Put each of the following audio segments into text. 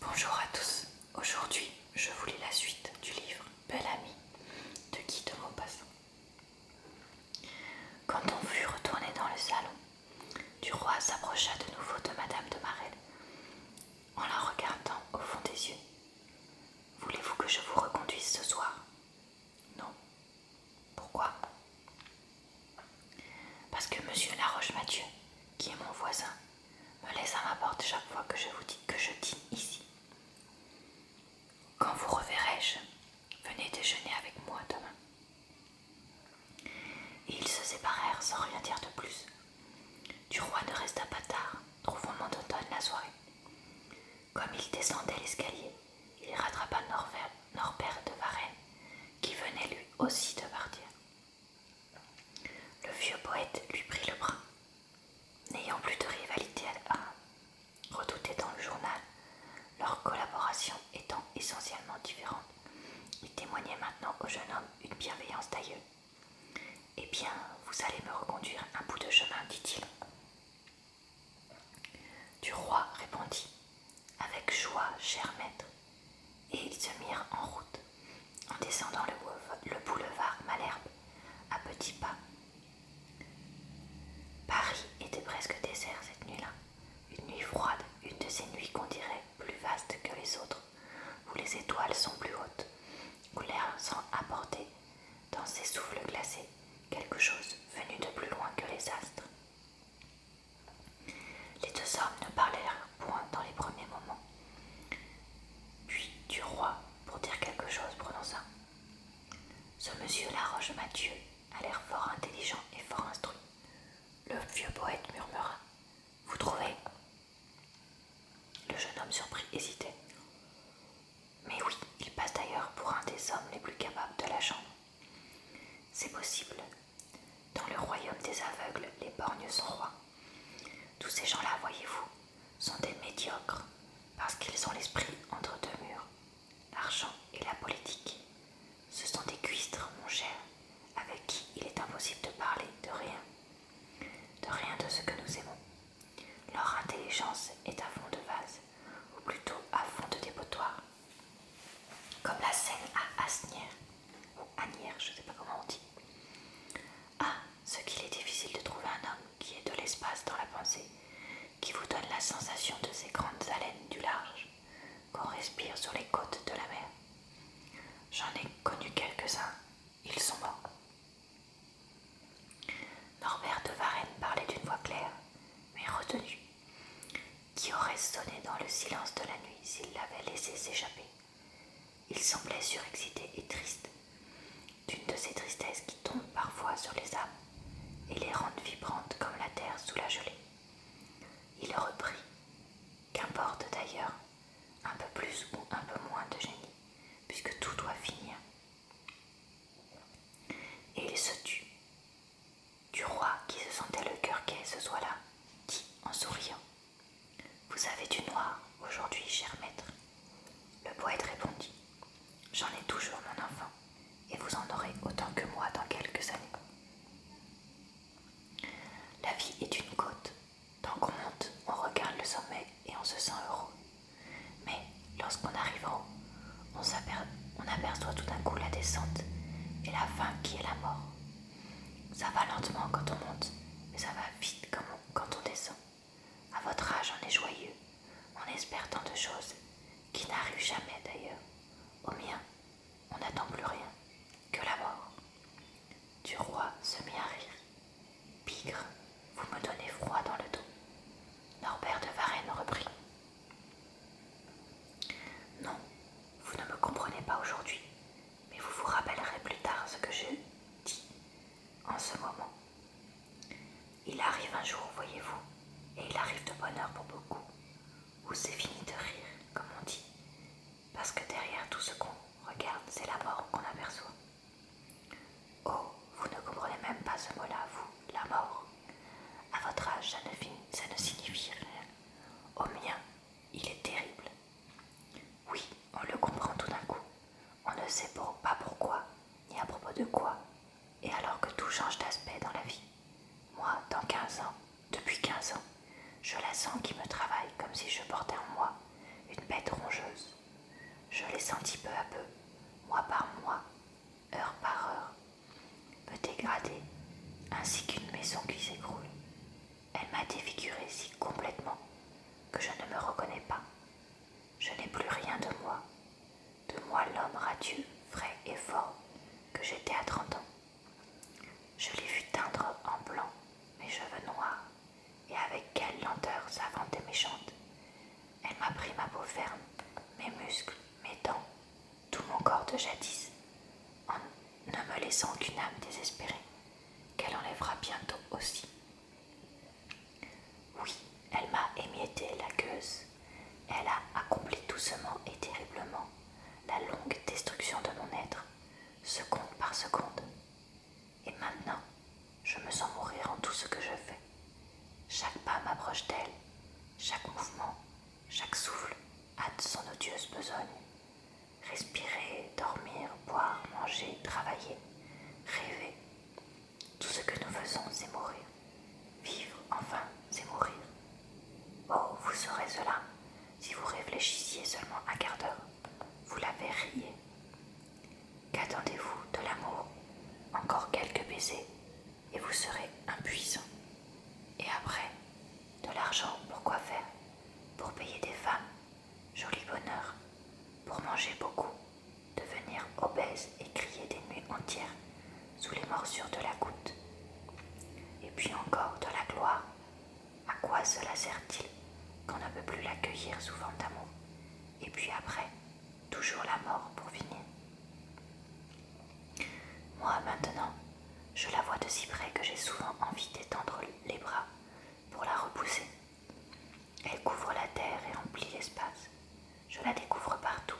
Bonjour à tous, aujourd'hui je vous lis la suite du livre Belle Amie de Guy de Maupassant. Quand on fut retourné dans le salon, du roi s'approcha de nouveau de Madame de Marelle en la regardant au fond des yeux. Voulez-vous que je vous reconduise ce soir Non. Pourquoi Parce que monsieur Laroche Mathieu, qui est mon voisin, me laisse à ma porte chaque fois que je vous dis que je dîne ici. Quand vous reverrai-je, venez déjeuner avec moi demain. Et ils se séparèrent sans rien dire de plus. Du roi ne resta pas tard, trouvant automne la soirée. Comme il descendait l'escalier, il rattrapa Norbert de Varennes, qui venait lui aussi de partir. Le vieux poète lui prit le bras. N'ayant plus de rivalité à redouter dans le journal, leur collaboration étant essentiellement différente, il témoignait maintenant au jeune homme une bienveillance d'aïeul. Eh bien, vous allez me reconduire un bout de chemin, dit-il. Du roi répondit avec joie, cher maître. Et ils se mirent en route, en descendant le boulevard Malherbe, à petits pas. Paris était presque désert cette nuit-là, une nuit froide, une de ces nuits qu'on dirait plus vastes que les autres, où les étoiles sont plus hautes, où l'air sent apporter, dans ses souffles glacés, quelque chose venu de plus loin que les astres. Les deux hommes ne parlèrent point dans les premiers moments. Puis du roi, pour dire quelque chose, prononça Ce monsieur Laroche Mathieu a l'air fort intelligent et fort instruit. Le vieux poète murmura Vous trouvez Le jeune homme surpris hésitait. Mais oui, il passe d'ailleurs pour un des hommes les plus capables de la chambre. C'est possible, dans le royaume des aveugles, les borgnes sont rois. Tous ces gens-là, voyez-vous, sont des médiocres, parce qu'ils ont l'esprit entre deux murs, l'argent et la politique. Ce sont des cuistres, mon cher, avec qui il est impossible de parler de rien, de rien de ce que nous aimons. Leur intelligence est à fond de vase, ou plutôt à fond de dépotoir comme la scène à Asnières, ou je ne sais pas comment on dit. Ah, ce qu'il est difficile de trouver un homme qui ait de l'espace dans la pensée, qui vous donne la sensation de ces grandes haleines du large qu'on respire sur les côtes de la mer. J'en ai connu quelques-uns, ils sont morts. Norbert de Varenne parlait d'une voix claire, mais retenue qui aurait sonné dans le silence de la nuit s'il l'avait laissé s'échapper. Il semblait surexcité et triste, d'une de ces tristesses qui tombent parfois sur les âmes et les rendent vibrantes comme la terre sous la gelée. Il reprit Qu'importe d'ailleurs, un peu plus ou un peu moins de génie, puisque tout doit finir. Et il se tut. Du roi, qui se sentait le cœur quai ce soir-là, dit en souriant Vous avez du noir aujourd'hui, cher maître. Le poète répondit J'en ai toujours, mon enfant, et vous en aurez autant que moi dans quelques années. La vie est une côte. Tant qu'on monte, on regarde le sommet et on se sent heureux. Mais lorsqu'on arrive en haut, on, aperçoit tout d'un coup la descente et la fin qui est la mort. Ça va lentement quand on monte, mais ça va vite quand on descend. À votre âge, on est joyeux, on espère tant de choses qui n'arrivent jamais d'ailleurs. Au mien, on n'attend plus rien que la mort. Du roi se mit à rire. Pigre, vous me donnez froid dans le dos. Norbert de Varenne reprit. Non, vous ne me comprenez pas aujourd'hui, mais vous vous rappellerez plus tard ce que j'ai dit en ce moment. Il arrive un jour, voyez-vous, et il arrive de bonne heure pour beaucoup, où c'est fini de rire, comme on dit, parce que derrière tout ce qu'on regarde, c'est la mort qu'on aperçoit. Oh, vous ne comprenez même pas ce mot-là, vous, la mort. À votre âge, ça ne, signifie rien. Au mien, il est terrible. Oui, on le comprend tout d'un coup. On ne sait pas pourquoi, ni à propos de quoi. Et alors que tout change d'aspect dans la vie. Moi, dans 15 ans, depuis 15 ans, je la sens qui me travaille comme si je portais en moi une bête rongeuse. Je l'ai sentie peu à peu, moi par mois, heure par heure, me dégrader, ainsi qu'une maison qui s'écroule. Elle m'a défiguré si complètement que je ne me reconnais pas. Je n'ai plus rien de moi, de moi l'homme radieux, frais et fort que j'étais à trente ans. Je l'ai vu teindre en blanc mes cheveux noirs, et avec quelle lenteur vente et méchante elle m'a pris ma peau ferme, mes muscles, mes dents, tout mon corps de jadis, en ne me laissant qu'une âme désespérée, qu'elle enlèvera bientôt aussi. Oui, elle m'a émietté la gueuse. Elle a accompli doucement et terriblement la longue destruction de mon être, seconde par seconde. Et maintenant, je me sens mourir en tout ce que je fais. Chaque pas m'approche d'elle, chaque mouvement, chaque souffle hâte son odieuse besogne. Respirer, dormir, boire, manger, travailler, rêver. Tout ce que nous faisons, c'est mourir. Vivre, enfin, c'est mourir. Oh, vous saurez cela si vous réfléchissiez seulement un quart d'heure vous l'avez rié. Qu'attendez-vous de l'amour Encore quelques baisers et vous serez impuissant. Et après, de l'argent pour quoi faire Pour payer des femmes, joli bonheur, pour manger beaucoup, devenir obèse et crier des nuits entières sous les morsures de la goutte. Et puis encore de la gloire. À quoi cela sert-il qu'on ne peut plus l'accueillir sous d'amour et puis après, toujours la mort pour finir. Moi maintenant, je la vois de si près que j'ai souvent envie d'étendre les bras pour la repousser. Elle couvre la terre et remplit l'espace. Je la découvre partout.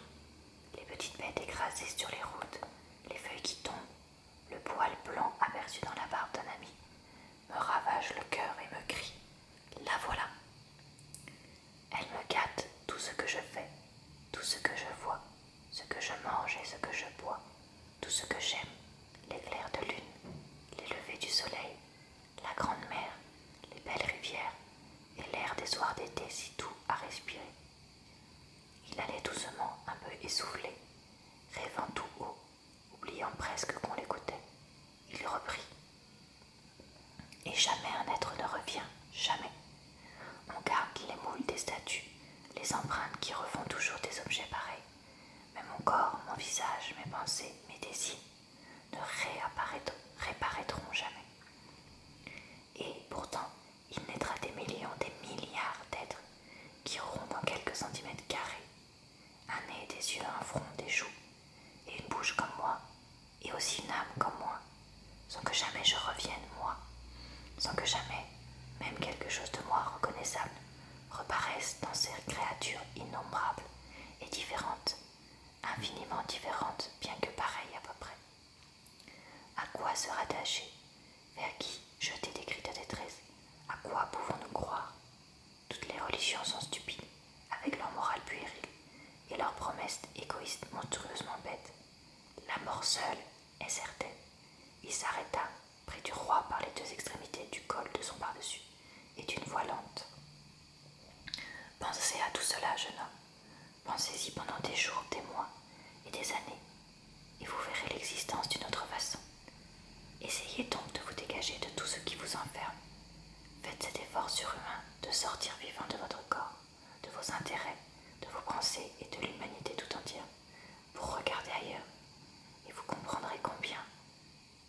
Les petites bêtes écrasées sur les routes, les feuilles qui tombent, le poil blanc aperçu dans la barbe d'un ami, me ravage le cœur et me crie La voilà Elle me gâte tout ce que je fais, tout ce que je vois, ce que je mange et ce que je bois, tout ce que j'aime, les clairs de lune, les levées du soleil, la grande mer, les belles rivières et l'air des soirs d'été si doux à respirer. Il allait doucement, un peu essoufflé, rêvant tout haut oubliant presque qu'on l'écoutait. Il reprit. Et jamais un être ne revient, jamais. On garde les moules des statues, les empreintes qui refont toujours des objets pareils. Mais mon corps, mon visage, mes pensées, mes désirs ne réapparaîtront jamais. Et pourtant, il naîtra des millions, des milliards d'êtres qui auront dans quelques centimètres carrés un nez, des yeux, un front, des joues, et une bouche comme moi, et aussi une âme comme moi, sans que jamais je revienne, moi, sans que jamais, même quelque chose de moi reconnaissable, reparaisse dans ces créatures innombrables et différentes, infiniment différentes, bien que pareilles à peu près. À quoi se rattacher vers qui jeter des cris de détresse. À quoi pouvons-nous croire Toutes les religions sont stupides, avec leur morale puérile et leurs promesses égoïstes monstrueusement bêtes. La mort seule est certaine. Il s'arrêta près du roi par les deux extrémités du col de son pardessus, dessus et d'une voix lente. Pensez à tout cela, jeune homme. Pensez-y pendant des jours, des mois et des années, et vous verrez l'existence d'une autre façon. Essayez donc de vous dégager de tout ce qui vous enferme. Faites cet effort surhumain de sortir vivant de votre corps, de vos intérêts, de vos pensées et de l'humanité tout entière, Vous regardez ailleurs, et vous comprendrez combien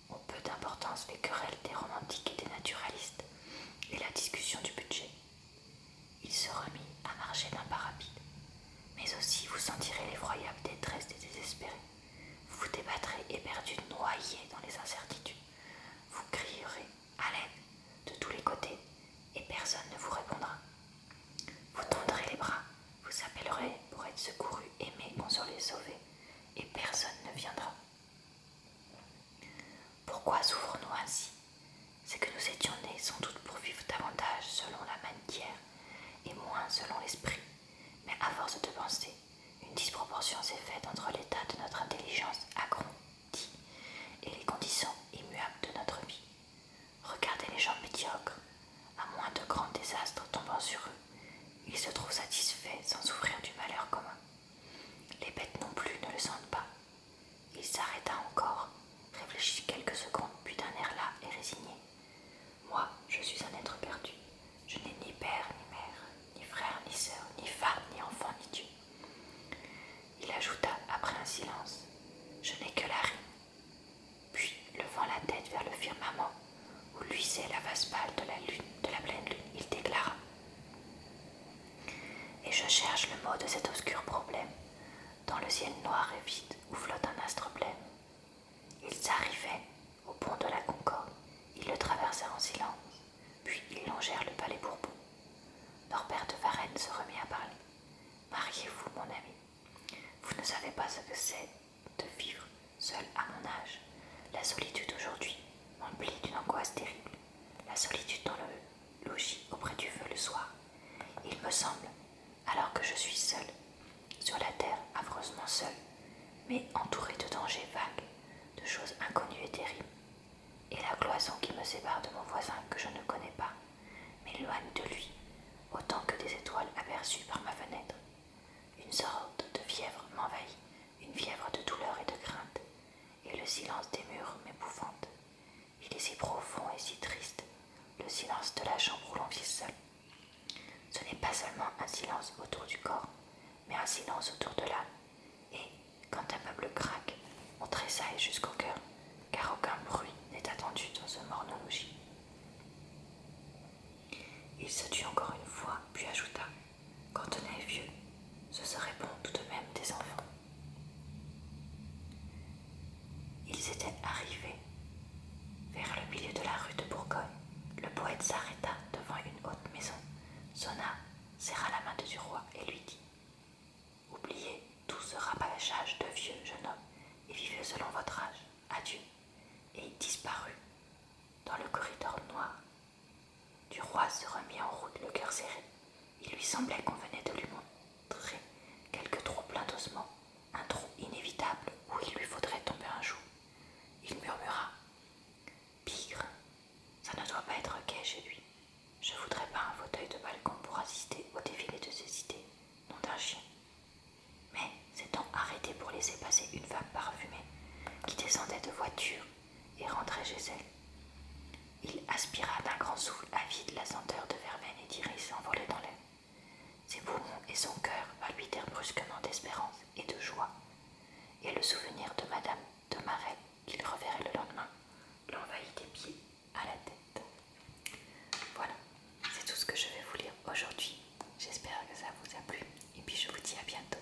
ont peu d'importance les querelles des romantiques et des naturalistes, et la discussion du budget. Il se remit à marcher d'un pas rapide, mais aussi vous sentirez l'effroyable détresse des désespérés. Vous vous débattrez éperdu, noyé dans les incertitudes. Vous crierez haleine de tous les côtés et personne ne vous répondra. Vous tendrez les bras, vous appellerez pour être secouru, aimé, consolé, sauvé et personne ne viendra. Pourquoi souffrons-nous ainsi c'est que nous étions nés sans doute pour vivre davantage selon la matière et moins selon l'esprit. Mais à force de penser, une disproportion s'est faite entre l'état de notre intelligence agrandie et les conditions immuables de notre vie. Regardez les gens médiocres, à moins de grands désastres tombant sur eux, ils se trouvent satisfaits sans souffrir du malheur commun. Les bêtes non plus ne le sentent pas, il s'arrêta encore, réfléchit quelques secondes, puis d'un air las et résigné. Moi, je suis un être perdu. Je n'ai ni père, ni mère, ni frère, ni sœur, ni femme, ni enfant, ni Dieu. Il ajouta après un silence. Je n'ai que la rime. Puis, levant la tête vers le firmament, où luisait la face pâle de la lune, de la pleine lune, il déclara. Et je cherche le mot de cet obscur problème, dans le ciel noir et vide où flotte un astre blême. Ils arrivaient au pont de la Concorde, ils le traversèrent en silence, puis ils longèrent le palais Bourbon. Norbert de Varennes se remit à parler. Mariez-vous, mon ami. Vous ne savez pas ce que c'est de vivre seul à mon âge. La solitude aujourd'hui m'emplit d'une angoisse terrible. La solitude dans le logis auprès du feu le soir. Il me semble, alors que je suis seule, sur la terre affreusement seul, mais entourée de dangers vagues, de choses inconnues et terribles, et la cloison qui me sépare de mon voisin que je ne connais pas, m'éloigne de lui, autant que des étoiles aperçues par ma fenêtre. Une sorte de fièvre m'envahit, une fièvre de douleur et de crainte, et le silence des murs m'épouvante. Il est si profond et si triste, le silence de la chambre où l'on vit seul. Ce n'est pas seulement un silence autour du corps, mais un silence autour de l'âme. Et, quand un meuble craque, on tressaille jusqu'au cœur, car aucun bruit n'est attendu dans ce morne logis. Il se tut encore une fois, puis ajouta Quand on est vieux, ce serait bon tout de même des enfants. Ils étaient arrivés vers le milieu de la rue de Bourgogne. Le poète s'arrêta devant une haute maison, sonna, serra la main du roi et lui dit Oubliez tout ce rabâchage de vieux jeune homme et vivez selon votre âge. Adieu. Et il disparut dans le corridor noir du roi se remit en route, le cœur serré. Il lui semblait qu'on venait de lui montrer quelque trou plein d'ossements, un trou inévitable où il lui faudrait tomber un jour. Il murmura Pigre, ça ne doit pas être gai chez lui. Je voudrais pas un fauteuil de balcon pour assister au défilé de ses idées, non d'un chien. Mais s'étant arrêté pour laisser passer une femme parfumée qui descendait de voiture et rentrait chez elle. Il aspira d'un grand souffle avide la senteur de Vermeil et d'iris envolée dans l'air. Ses poumons et son cœur palpitèrent brusquement d'espérance et de joie, et le souvenir de Madame de Marais qu'il reverrait le lendemain l'envahit des pieds à la tête. Voilà, c'est tout ce que je vais vous lire aujourd'hui. J'espère que ça vous a plu, et puis je vous dis à bientôt.